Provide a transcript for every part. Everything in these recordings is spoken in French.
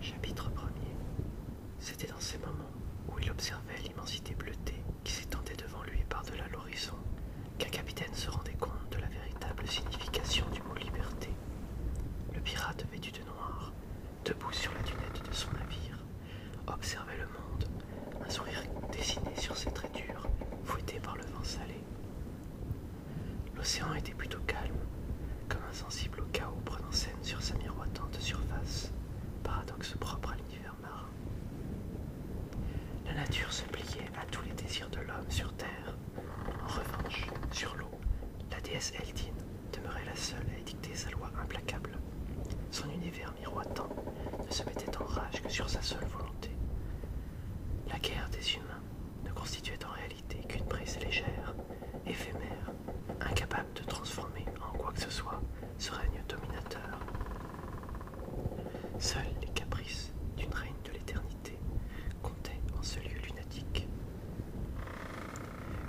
Chapitre 1 C'était dans ces moments où il observait l'immensité bleutée qui s'étendait devant lui par-delà l'horizon qu'un capitaine se rendait compte de la véritable signification du mot liberté. Le pirate vêtu de noir, debout sur la dunette de son navire, observait le monde, un sourire dessiné sur ses traits durs, fouettés par le vent salé. L'océan était plutôt calme, comme insensible au chaos prenant scène sur sa miroitante surface, paradoxe propre à l'univers marin. La nature se pliait à tous les désirs de l'homme sur Terre. En revanche, sur l'eau, la déesse eldine demeurait la seule à édicter sa loi implacable. Son univers miroitant ne se mettait en rage que sur sa seule volonté. La guerre des humains ne constituait en réalité qu'une prise légère, éphémère, incapable de transformer en quoi que ce soit ce règne dominateur. Seuls les caprices d'une reine de l'éternité comptaient en ce lieu lunatique.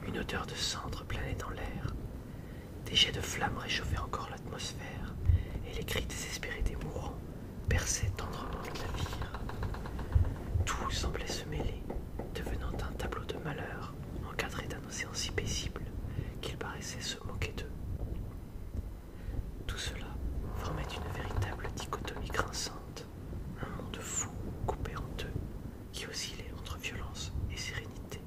Une odeur de cendre planait dans l'air, des jets de flammes réchauffaient encore l'atmosphère, et les cris désespérés des mourants perçaient tendrement le navire. Tout semblait se mêler, devenant un tableau de malheur, encadré d'un océan si paisible qu'il paraissait se moquer d'eux. Tout cela formait une véritable dichotomie grinçante, un monde fou coupé en deux qui oscillait entre violence et sérénité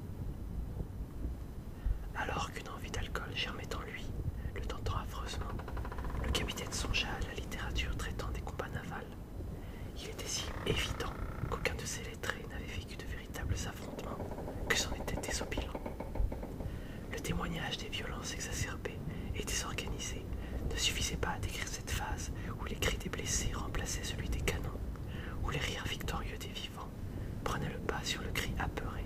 alors qu'une envie d'alcool germait en lui, le tentant affreusement. Le capitaine songea à la littérature traitant des combats navals. Il était si évident qu'aucun de ces lettrés n'avait vécu de véritables affrontements que c'en était désobilant. Le témoignage des violences exacerbées et désorganisées ne suffisait pas à décrire cette phase où les cris des blessés remplaçaient celui des canons, où les rires victorieux des Prenait le pas sur le cri apeuré,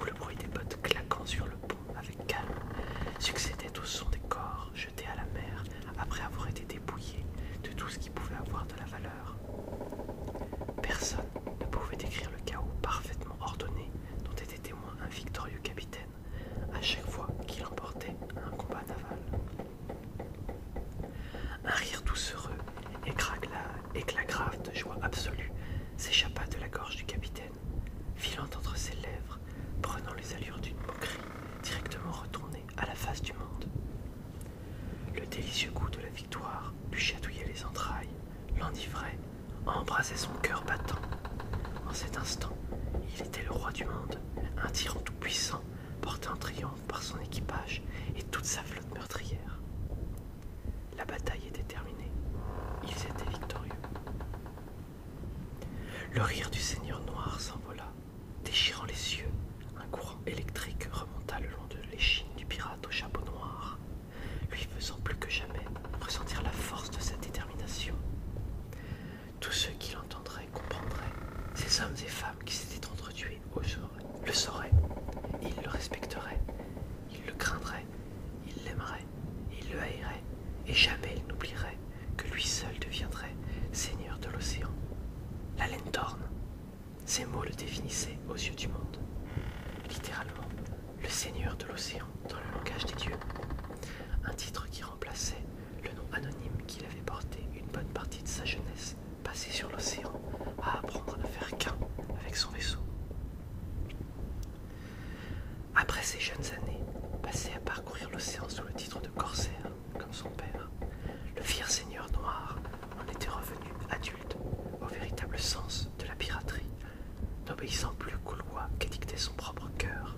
ou le bruit des bottes claquant sur le pont avec calme succédait au son des corps jetés à la mer après avoir été dépouillés de tout ce qui pouvait avoir de la valeur. Personne ne pouvait décrire le chaos parfaitement ordonné dont était témoin un victorieux capitaine à chaque fois qu'il emportait un combat naval. Un rire doucereux et éclat grave de joie absolue s'échappa de la gorge du capitaine, filant entre ses lèvres, prenant les allures d'une moquerie directement retournée à la face du monde. Le délicieux goût de la victoire lui chatouillait les entrailles, l'enivrait, embrassait son cœur battant. En cet instant, il était le roi du monde, un tyran tout-puissant porté en triomphe par son équipage et toute sa flotte meurtrière. La bataille était terminée. Ils étaient victorieux. Le rire du seigneur noir s'envola, déchirant les yeux. Un courant électrique remonta le long de l'échine du pirate au chapeau noir, lui faisant plus que jamais ressentir la force de sa détermination. Tous ceux qui l'entendraient comprendraient ces hommes et femmes qui s'étaient entretués le saurait, il le respecterait, il le craindrait, il l'aimerait, il le haïrait, et jamais il n'oublierait que lui seul deviendrait seigneur de l'océan. La laine d'orne, Ces mots le définissaient aux yeux du monde. Littéralement, le seigneur de l'océan dans le langage des dieux. Un titre qui remplaçait le nom anonyme qu'il avait porté une bonne partie de sa jeunesse Passé sur l'océan, à apprendre à ne faire qu'un avec son vaisseau. Après ces jeunes années, passées à parcourir l'océan sous le titre de corsaire, comme son père, le fier seigneur noir en était revenu adulte au véritable sens de la piraterie, n'obéissant plus qu'aux lois qu'édictait son propre cœur.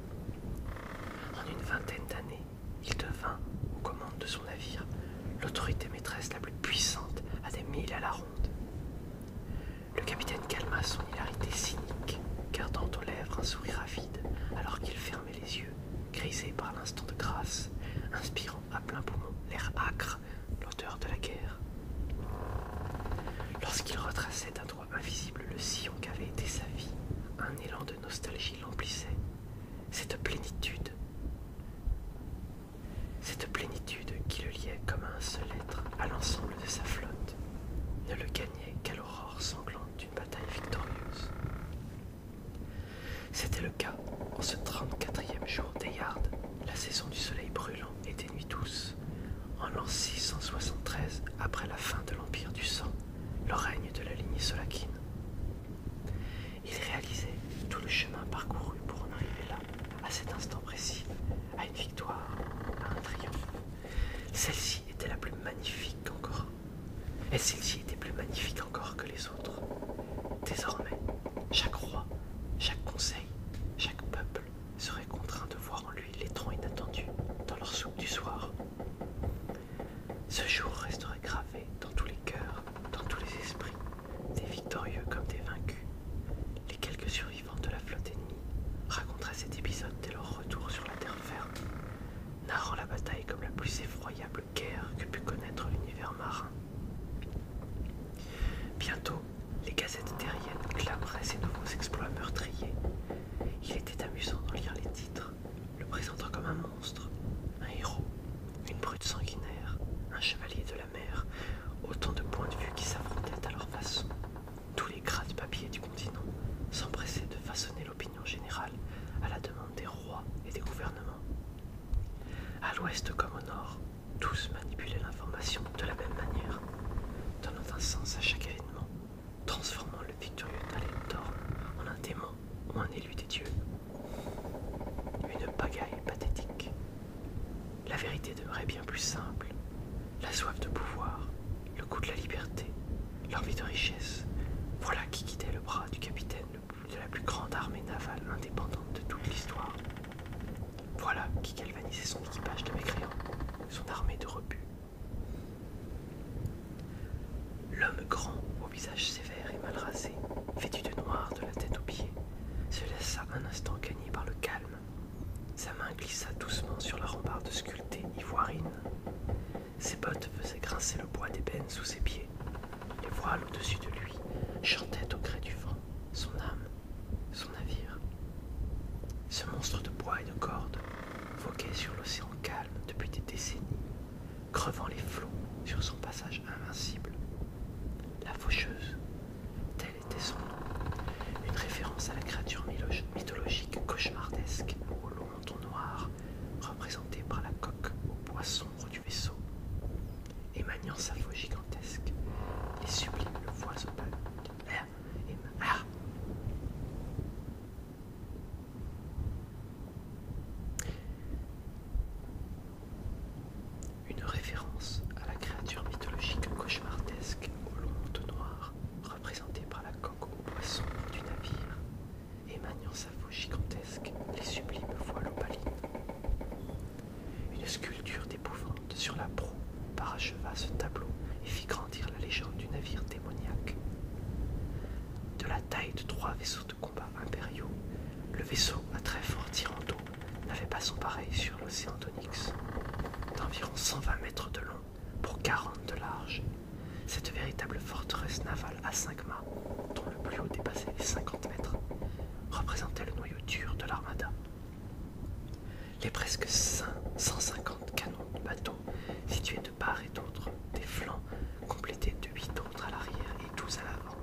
En une vingtaine d'années, il devint, aux commandes de son navire, l'autorité maîtresse la plus puissante à des milles à la ronde. Le capitaine calma son hilarité cynique, gardant aux lèvres un sourire avide, alors qu'il fermait les yeux, grisé par l'instant de grâce, inspirant à plein poumon l'air acre, l'odeur de la guerre. Lorsqu'il retraçait d'un droit invisible le sillon qu'avait été sa vie, un élan de nostalgie l'emplissait. Cette plénitude, cette plénitude qui le liait comme un seul être à l'ensemble de sa flotte ne le gagnait qu'à l'aurore sanglante d'une bataille victorieuse. C'était le cas en ce 34e jour d'Eyard, la saison du soleil brûlant et des nuits douces, en l'an 673 après la fin de l'Empire du Sang, le règne de la lignée solakine. Il réalisait tout le chemin parcouru pour en arriver là, à cet instant précis, à une victoire, à un triomphe. Celle-ci était la plus magnifique encore. Et celle-ci était plus magnifique encore que les autres. Désormais, chaque roi, chaque conseil, chaque peuple serait contraint de voir en lui les troncs inattendus dans leur soupe du soir. Ce jour resterait gravé dans tous les cœurs, dans tous les esprits, des victorieux comme des vaincus. Les quelques survivants de la flotte ennemie raconteraient cet épisode dès leur retour sur la terre ferme, narrant la bataille comme la plus effroyable guerre que put connaître l'univers marin. Bientôt, les gazettes terriennes clameraient ces nouveaux exploits meurtriers. Il était amusant d'en lire les titres, le présentant comme un monstre, un héros, une brute sanguinaire, un chevalier de la mer, autant de points de vue qui s'affrontaient à leur façon. Tous les de papiers du continent s'empressaient de façonner l'opinion générale à la demande des rois et des gouvernements. À l'ouest comme au nord, tous manipulaient l'information de la même manière, donnant un sens à chaque événement, transformant le victorieux Talent en un démon ou un élu des dieux. Une pagaille pathétique. La vérité devrait bien plus simple. La soif de pouvoir, le goût de la liberté, l'envie de richesse, voilà qui quittait le bras du capitaine de la plus grande armée navale indépendante de toute l'histoire. Voilà qui galvanisait son équipage de mécréants, son armée de rebuts. L'homme grand, au visage sévère et mal rasé, vêtu de noir de la tête aux pieds, se laissa un instant gagner par le calme. Sa main glissa doucement sur la rambarde sculptée ivoirine. Ses bottes faisaient grincer le bois d'ébène sous ses pieds. Les voiles au-dessus de lui chantaient au gré du vent, son âme, son navire. Ce monstre de bois et de cordes voguait sur l'océan calme depuis des décennies, crevant les flots sur son passage invincible. La faucheuse, tel était son nom, une référence à la créature mythologique cauchemardesque au long ton noir, représentée par la coque au bois sombre du vaisseau, émanant sa voix gigantesque et sublime voix opale. Une référence à la créature mythologique cauchemardesque au long manteau noir, représentée par la coque au poisson du navire, émanant sa peau gigantesque les sublimes voiles opalines. Une sculpture d'épouvante sur la proue paracheva ce tableau et fit grandir la légende du navire démoniaque de la taille de trois vaisseaux de combat impériaux, le vaisseau à très fort tirant d'eau n'avait pas son pareil sur l'océan d'Onyx. D'environ 120 mètres de long pour 40 de large, cette véritable forteresse navale à cinq mâts, dont le plus haut dépassait les 50 mètres, représentait le noyau dur de l'armada. Les presque 550 150 canons de bateau, situés part et d'autre des flancs, complétés de huit autres à l'arrière et douze à l'avant,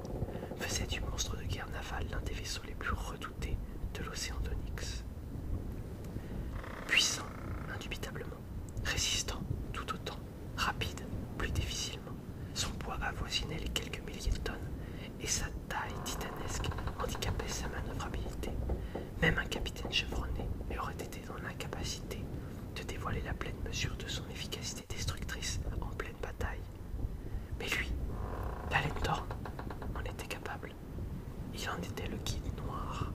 faisait du monstre de guerre navale l'un des vaisseaux les plus redoutés de l'océan d'Onyx. Puissant, indubitablement, résistant tout autant, rapide, plus difficilement, son poids avoisinait les quelques milliers de tonnes et sa taille titanesque handicapait sa manœuvrabilité. Même un capitaine chevronné aurait été dans l'incapacité de dévoiler la pleine mesure de son efficacité destructrice en pleine bataille. Mais lui, la en était capable. Il en était le guide noir.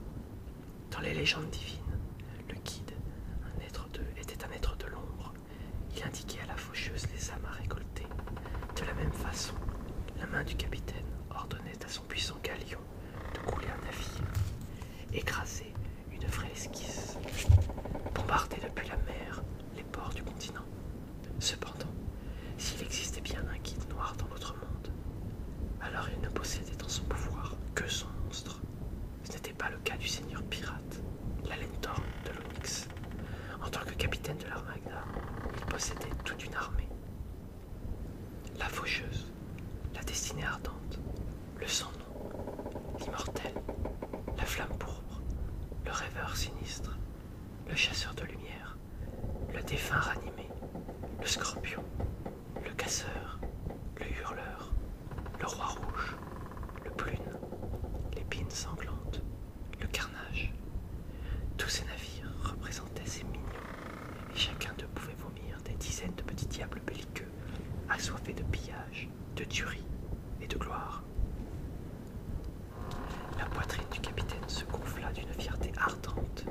Dans les légendes divines, le guide un être de, était un être de l'ombre. Il indiquait à la faucheuse les âmes à récolter. De la même façon, la main du capitaine ordonnait à son puissant galion de couler un navire, écraser une vraie esquisse, bombarder depuis la mer les ports du continent. Cependant, s'il existait bien un guide noir dans notre monde, alors il ne possédait dans son pouvoir que son monstre. Ce n'était pas le cas du seigneur pirate, l'Allentor de l'Onyx. En tant que capitaine de l'Armagna, il possédait toute une armée, la faucheuse, la destinée ardente, le sans l'immortel, la flamme pourpre, le rêveur sinistre, le chasseur de lumière, le défunt ranimé, le scorpion, le casseur, le hurleur, le roi rouge, le plume, l'épine sanglante, le carnage. Tous ces navires représentaient ces mignons et chacun d'eux pouvait vomir des dizaines de petits diables belliqueux, assoiffés de pillages, de tuerie et de gloire. La poitrine du capitaine se gonfla d'une fierté ardente.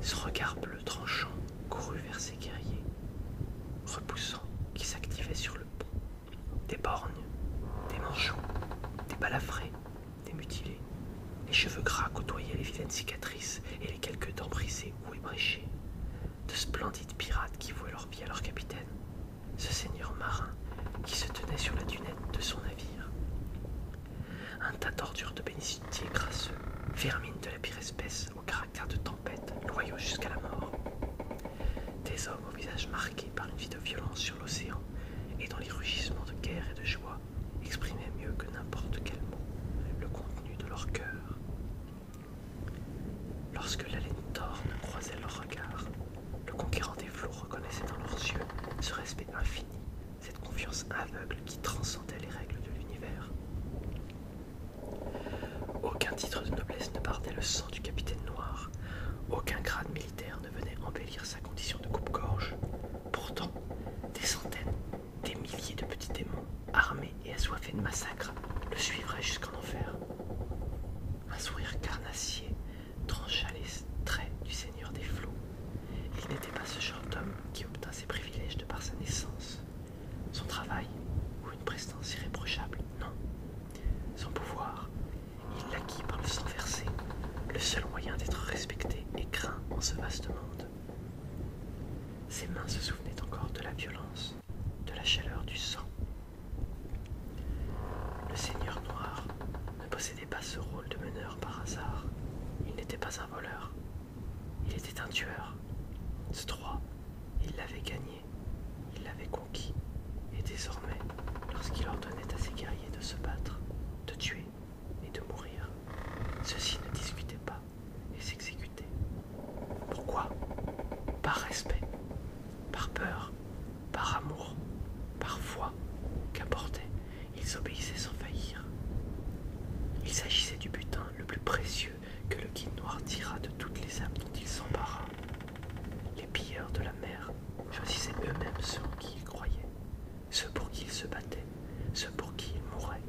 Ce regard bleu tranchant courut vers ses guerriers, repoussant qui s'activaient sur le pont. Des borgnes, des manchots, des balafrés, des mutilés, les cheveux gras côtoyaient les vilaines cicatrices et les quelques dents brisées ou ébréchées. De splendides pirates qui vouaient leur vie à leur capitaine, ce seigneur marin qui se tenait sur la dunette de son navire. Un tas d'ordures de bénitier grasseux, vermine de la pire espèce, au caractère de tempête, loyaux jusqu'à la mort. Des hommes au visage marqué par une vie de violence sur l'océan et dans les rugissements de guerre et de joie exprimaient exprimait mieux que n'importe quel mot le contenu de leur cœur. Lorsque la laine croisait leurs regards, le conquérant des flots reconnaissait dans leurs yeux ce respect infini, cette confiance aveugle qui transcendait les règles de l'univers. Aucun titre de noblesse ne bardait le sang du capitaine noir, aucun grade militaire ne venait embellir sa condition de coupe-gorge. Pourtant, des centaines, des milliers de petits démons, armés et assoiffés de massacres, le suivraient jusqu'en enfer. Un sourire carnassier trancha les traits du Seigneur des Flots. Il n'était pas ce genre d'homme qui obtint ses privilèges de par sa naissance, son travail ou une prestance irréprochable, non. Son pouvoir, il l'acquit par le sang versé, le seul moyen d'être respecté et craint en ce vaste monde. Ses mains se souvenaient encore de la violence, de la chaleur du sang. Le seigneur noir ne possédait pas ce rôle de meneur par hasard. Il n'était pas un voleur. Il était un tueur. Ce droit, il l'avait gagné, il l'avait conquis. Et désormais, lorsqu'il ordonnait à ses guerriers de se battre, de tuer, et de mourir. Ceux-ci ne discutaient pas et s'exécutaient. Pourquoi Par respect, par peur, par amour, par foi qu'apportaient, ils obéissaient sans faillir. Il s'agissait du butin le plus précieux que le guide noir tira de toutes les âmes dont il s'empara. Les pilleurs de la mer choisissaient eux-mêmes ceux en qui ils croyaient, ce pour qui il se battait, ce pour qui il mourait.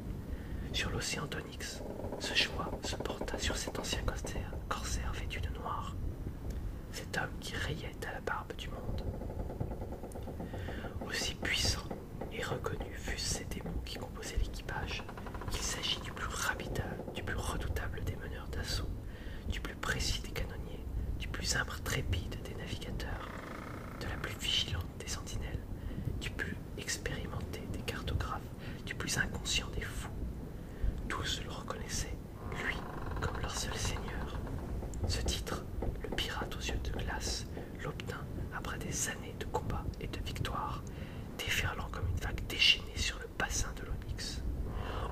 Sur l'océan d'Onyx, ce choix se porta sur cet ancien corsaire, corsaire vêtu de noir, cet homme qui rayait à la barbe du monde. Aussi puissant et reconnu fussent ces démons qui composaient l'équipage, Il s'agit du plus rapide du plus redoutable des meneurs d'assaut, du plus précis des canonniers, du plus imbre trépide des navigateurs, de la plus vigilante des sentinelles, du plus expérimenté des cartographes, du plus inconscient des fous. Tous le reconnaissaient, lui, comme leur seul seigneur. Ce titre, le pirate aux yeux de glace, l'obtint après des années de combats et de victoires, déferlant comme une vague déchaînée sur le bassin de l'Onyx.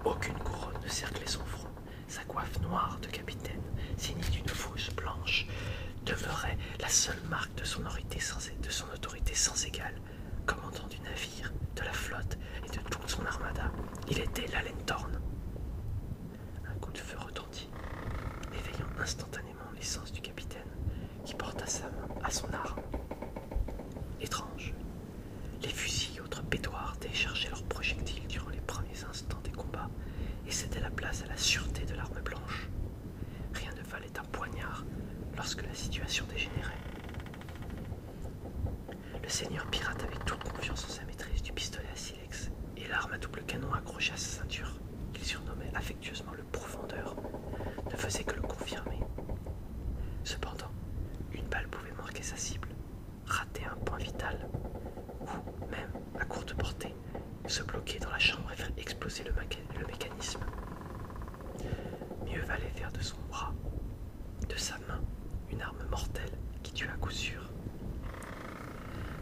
Aucune couronne ne cerclait son front, sa coiffe noire de capitaine, signée d'une fausse blanche, demeurait la seule marque de son, autorité sans, égale, commandant du navire, de la flotte et de toute son armada. Il était l'Alentorn. Un coup de feu retentit, éveillant instantanément l'essence du capitaine, qui porta sa main à son arme. Étrange. Les fusils et autres pédoirs déchargeaient leurs projectiles durant les instants des combats et cédait la place à la sûreté de l'arme blanche. Rien ne valait un poignard lorsque la situation dégénérait. Le seigneur pirate avait toute confiance en sa maîtrise du pistolet à silex et l'arme à double canon accrochée à sa ceinture, qu'il surnommait affectueusement le profondeur, ne faisait que le confirmer. Cependant, une balle pouvait marquer sa cible, rater un point vital, ou même à courte portée, se bloquer dans la chambre et faire exploser le, mécanisme. Mieux valait faire de son bras, de sa main, une arme mortelle qui tue à coup sûr.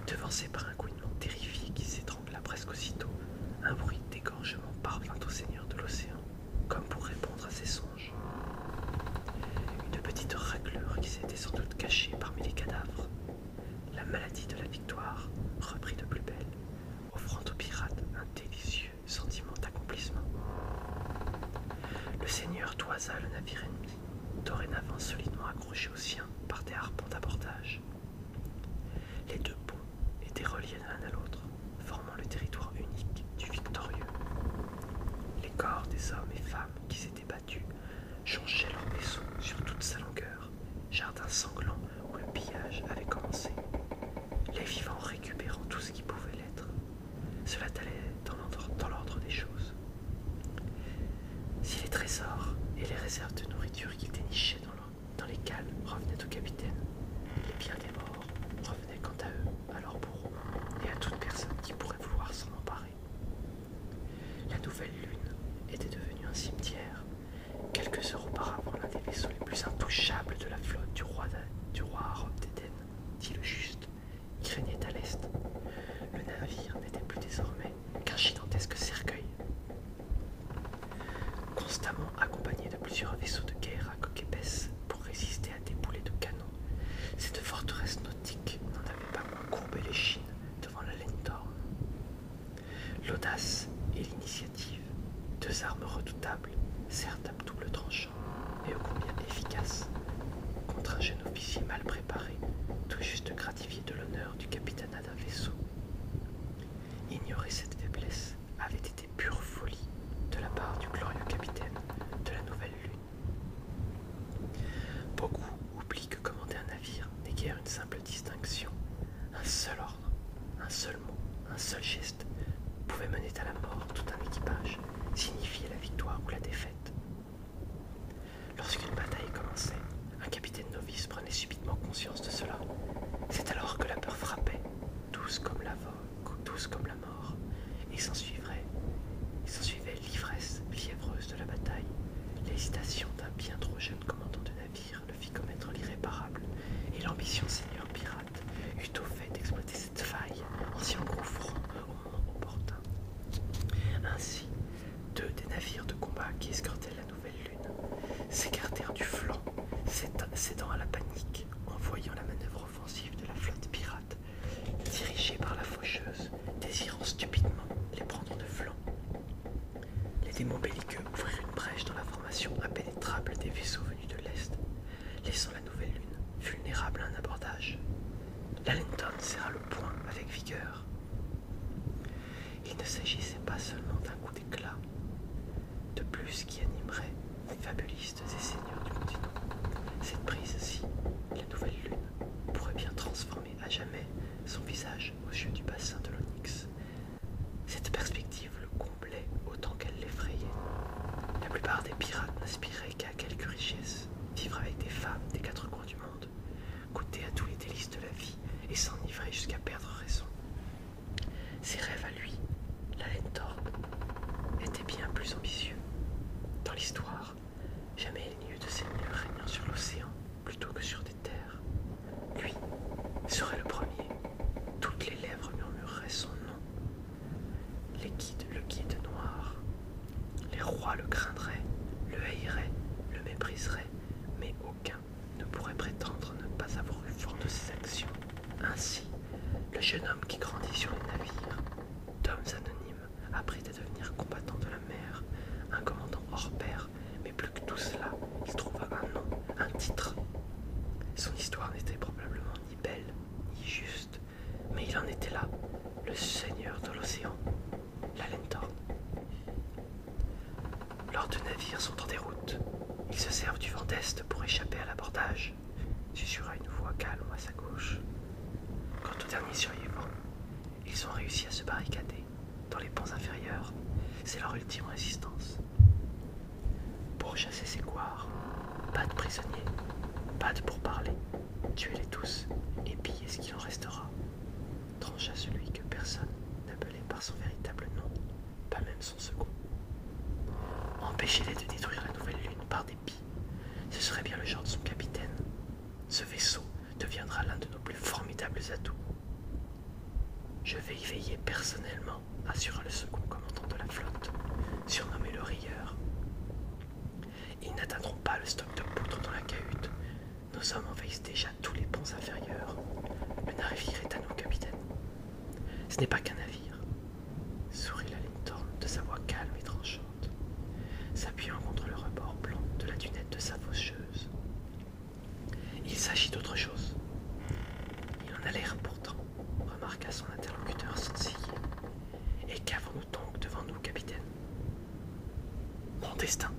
Devancé par un couinement terrifié qui s'étrangla presque aussitôt, un bruit d'égorgement parvint au seigneur de l'océan, comme pour répondre à ses songes une petite raclure qui s'était sans doute cachée parmi les cadavres. La maladie de la victoire reprit de plus belle, offrant aux pirates un délicieux sentiment d'accomplissement. Le seigneur toisa le navire ennemi, dorénavant solidement accroché au sien par des harpons d'abordage. Les deux ponts étaient reliés l'un à l'autre, formant le territoire unique du victorieux. Les corps des hommes et femmes qui s'étaient battus changeaient leur vaisseau sur toute sa longueur, jardin sanglant où le pillage avait commencé, les vivants récupérant tout ce qui pouvait l'être. Cela allait dans l'ordre des choses. Si les trésors et les réserves de nourriture qu'ils dénichaient dans, dans les cales revenaient au capitaine, les biens des morts revenaient quant à eux, à leur bourreau et à toute personne qui pourrait vouloir s'en emparer. La nouvelle lune était devenue un cimetière. Quelques heures auparavant, l'un des vaisseaux les plus intouchables de la flotte du roi, du d'Éden, dit le juste, qui régnait à l'est. Le navire n'était plus désormais qu'un gigantesque cercueil. Constamment accompagné de plusieurs vaisseaux de guerre à coque épaisse pour résister à des boulets de canon, cette forteresse n'en avait pas courbé les devant la lenteur. L'audace et l'initiative, deux armes redoutables, certes à double tranchant, et ô combien efficaces, contre un jeune officier mal préparé, tout juste gratifié de l'honneur du capitanat d'un vaisseau. Ignorer cette faiblesse avait été pure folie de la part du glorieux capitaine de la Nouvelle Lune. Beaucoup oublient que commander un navire n'est guère une simple distinction. Un seul ordre, un seul mot, un seul geste pouvait mener à la mort tout un équipage, signifier la victoire ou la défaite. Lorsqu'une bataille commençait, un capitaine novice prenait subitement conscience de cela. C'est alors que la peur frappait, douce comme la, volgue douce comme la mort, et s'ensuivait l'ivresse fiévreuse de la bataille. L'hésitation d'un bien trop jeune commandant de navire le fit commettre l'irréparable, et l'ambition seigneur pirate eut au fait d'exploiter cette faille en s'y engouffrant au moment opportun. Ainsi, deux des navires de combat qui escortaient la nouvelle lune s'écartèrent du flanc, cédant à la panique en voyant la manœuvre offensive de la flotte pirate dirigés par la faucheuse, désirant stupidement les prendre de flanc. Les démons belliqueux ouvrirent une brèche dans la formation impénétrable des vaisseaux venus de l'Est, laissant la nouvelle lune vulnérable à un abordage. L'Allenton serra le point avec vigueur. Il ne s'agissait pas seulement d'un coup d'éclat, de plus qui animerait fabulistes et seigneurs du continent. Cette prise-ci, la nouvelle lune, pourrait bien transformer à jamais son visage aux yeux du bassin de l'Onyx. Cette perspective le comblait autant qu'elle l'effrayait. La plupart des pirates n'aspiraient qu'à quelques richesses, vivre avec des femmes des quatre coins du monde, goûter à tous les délices de la vie et s'enivrer jusqu'à perdre raison. Ses rêves à lui, la laine d'orbe, étaient bien plus ambitieux. Dans l'histoire, Jamais il n'y eut de seigneur régnant sur l'océan plutôt que sur des terres. Lui serait le premier. Toutes les lèvres murmureraient son nom. Les guides le guide noir. Les rois le craindraient, le haïraient, le mépriseraient, mais aucun ne pourrait prétendre ne pas avoir eu fort de ses actions. Ainsi, le jeune homme qui grandit sur les navires, d'hommes anonymes, après à devenir combattant de la mer, un commandant hors pair, mais plus que tout cela, il trouva un nom, un titre. Son histoire n'était probablement ni belle, ni juste, mais il en était là, le seigneur de l'océan, la Lors de navires sont en déroute, ils se servent du vent d'est pour échapper à l'abordage susurra une voix calme à sa gauche. Quant aux derniers survivants, ils ont réussi à se barricader dans les ponts inférieurs. C'est leur ultime résistance. Pour chasser ces couards, pas de prisonniers, pas de pourparlers. Tuez-les tous et pillez ce qu'il en restera. à celui que personne n'appelait par son véritable nom, pas même son second. Empêchez-les de détruire la nouvelle lune par des ce serait bien le genre de son capitaine. Ce vaisseau deviendra l'un de nos plus formidables atouts. Je vais y veiller personnellement, assura le second commandant de la flotte, surnommé le rieur. Ils n'atteindront pas le stock de poudre dans la cahute. Nos hommes envahissent déjà tous les ponts inférieurs. Le navire est à nous, capitaine. Ce n'est pas qu'un navire, Sourit la Linton de sa voix calme et tranchante, s'appuyant contre le rebord blanc de la dunette de sa faucheuse. Il s'agit d'autre chose. Il en a l'air pourtant, remarqua son interlocuteur sourcillé. Et qu'avons-nous donc devant nous, capitaine Mon destin.